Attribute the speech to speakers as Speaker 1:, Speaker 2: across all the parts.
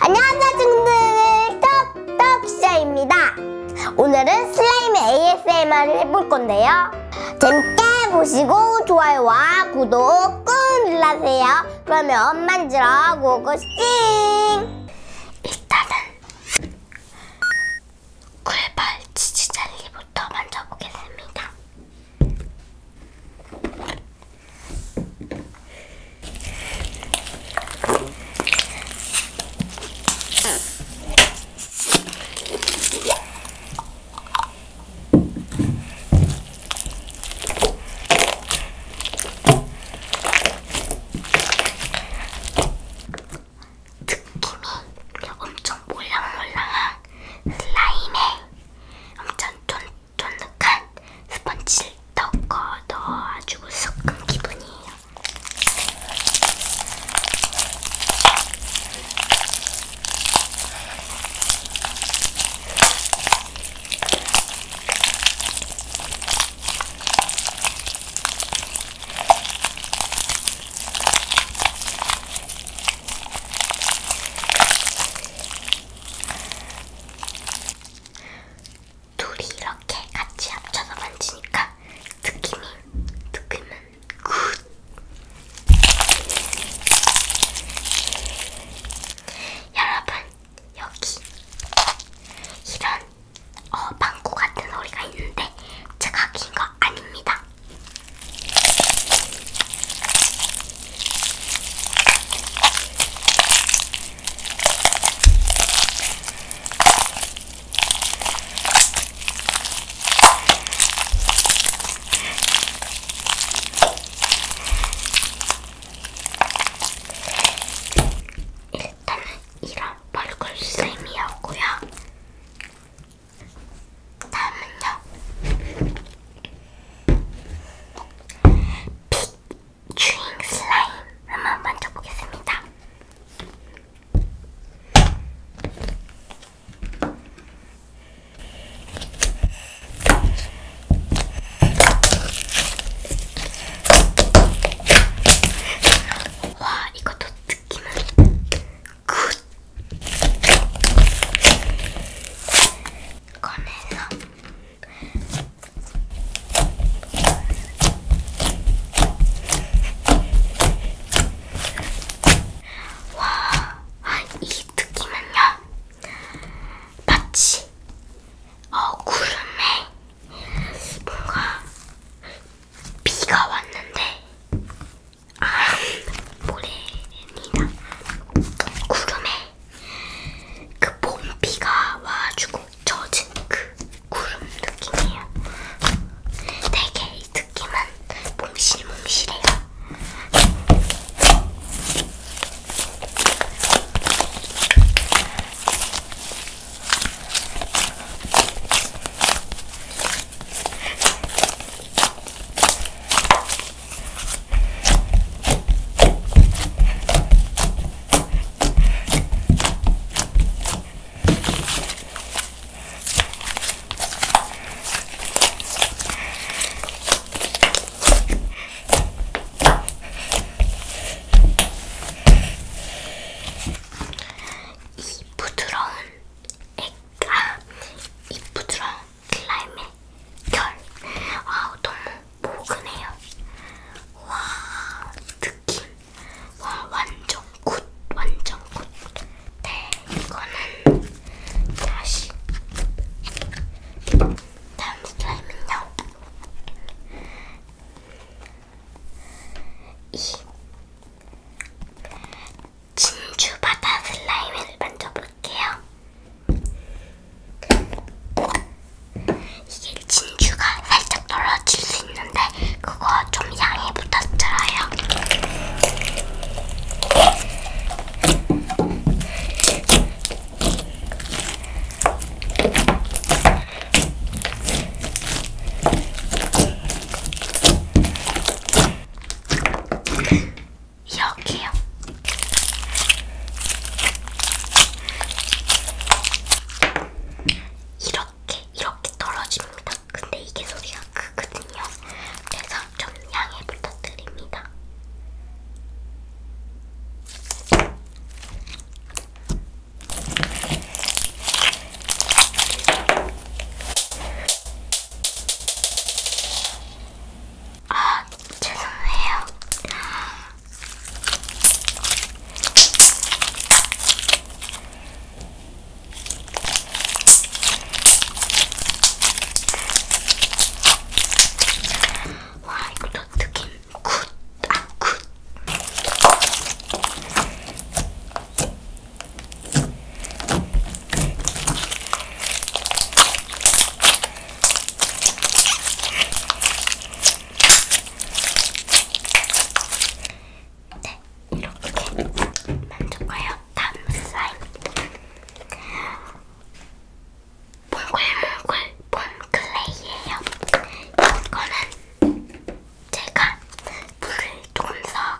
Speaker 1: 안녕하세요 친구들 떡떡 시아입니다 오늘은 슬라임 ASMR을 해볼 건데요 재밌게 보시고 좋아요와 구독 꾹 눌러주세요. 그러면 만지러 고고씽! 일단은
Speaker 2: 굴발 치즈젤리부터 만져보겠습니다. 느낌이 엄청 몰랑몰랑한 슬라임에 엄청 쫀쫀득한 스펀지를 덮어 넣어가지고 섞은 기분이에요. 둘이 이렇게 같이 합쳐서 만지니까 느낌이, 느낌은 굿. 여러분 여기 이런 어, 방구 같은 소리가 있는데 제가 낀거 아닙니다. 일단은 이런 벌꿀 쌤이었고요. 다음은요. 핏 주잉 슬라임을 한번 만져보겠습니다. 와, 이것도 느낌은 굿! 꺼내서 와, 아, 이 느낌은요, 마치 어 구름에 뭔가 비가 왔는데 아 모래입니다. 구름에 그 봄비가 와가지고 젖은 그 구름 느낌이에요. 되게 이 듣기만 몽실몽실해요. 이 부드러운 액, 아, 이 부드러운 슬라임의 결, 아우 너무 포근해요. 와 느낌 와 완전 굿 완전 굿. 네 이거는 다시 다음 슬라임은요. 이 진주 바다 슬라임을 만져볼게요. 이게 진주가 살짝 떨어질 수 있는데 그거 좀 양해 부탁드려요. 이렇게요. 이렇게 이렇게 떨어집니다. 근데 이게 소리가 크거든요. 그래서 좀 양해 부탁드립니다. 아, 죄송해요. 와, 이것도 느낌 굿! 아, 굿! 네. 네, 이렇게 만족해요. 다음 사이드. 몽글몽글 폼클레이예요. 이거는 제가 물을 조금 서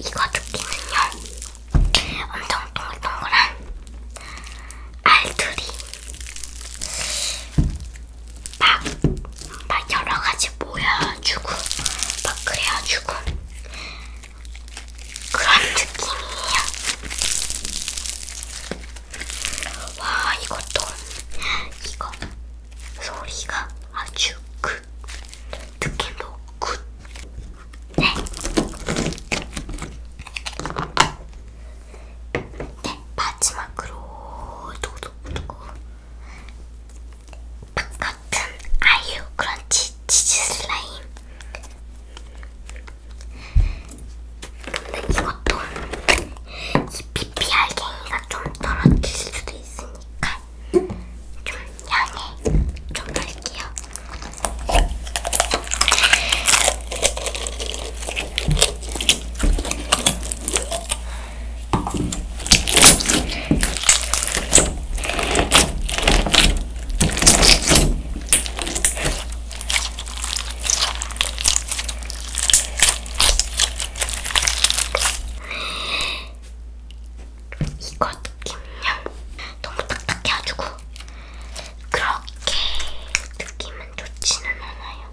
Speaker 2: 이거 조끼는요 엄청 동글동글한 알투리 막, 막 여러 가지 모여주고, 막 그려주고, 그런 느낌이에요. 와, 이것도, 이거, 소리가 아주 굿. 느낌도 굿. 네. 네, 마지막으로 도도도도 빵같은 아이유 크런치 치즈 슬라임 근데 이것도 이 PPR갱이가 좀 떨어질 수도 있으니까 좀 양해 좀 할게요. 이거 느낌요 너무 딱딱해가지고 그렇게 느낌은 좋지는 않아요.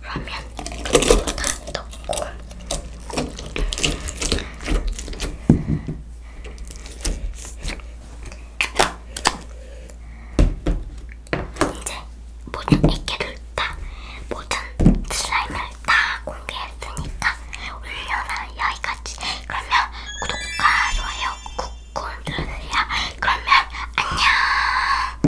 Speaker 2: 그러면 이것도 다 넣고 이제 모든 액기를 다 모든 슬라임을 다 공개했으니까 올려놔 여기까지 그러면 구독과 좋아요 꾹꾹 눌러주세요 그러면 안녕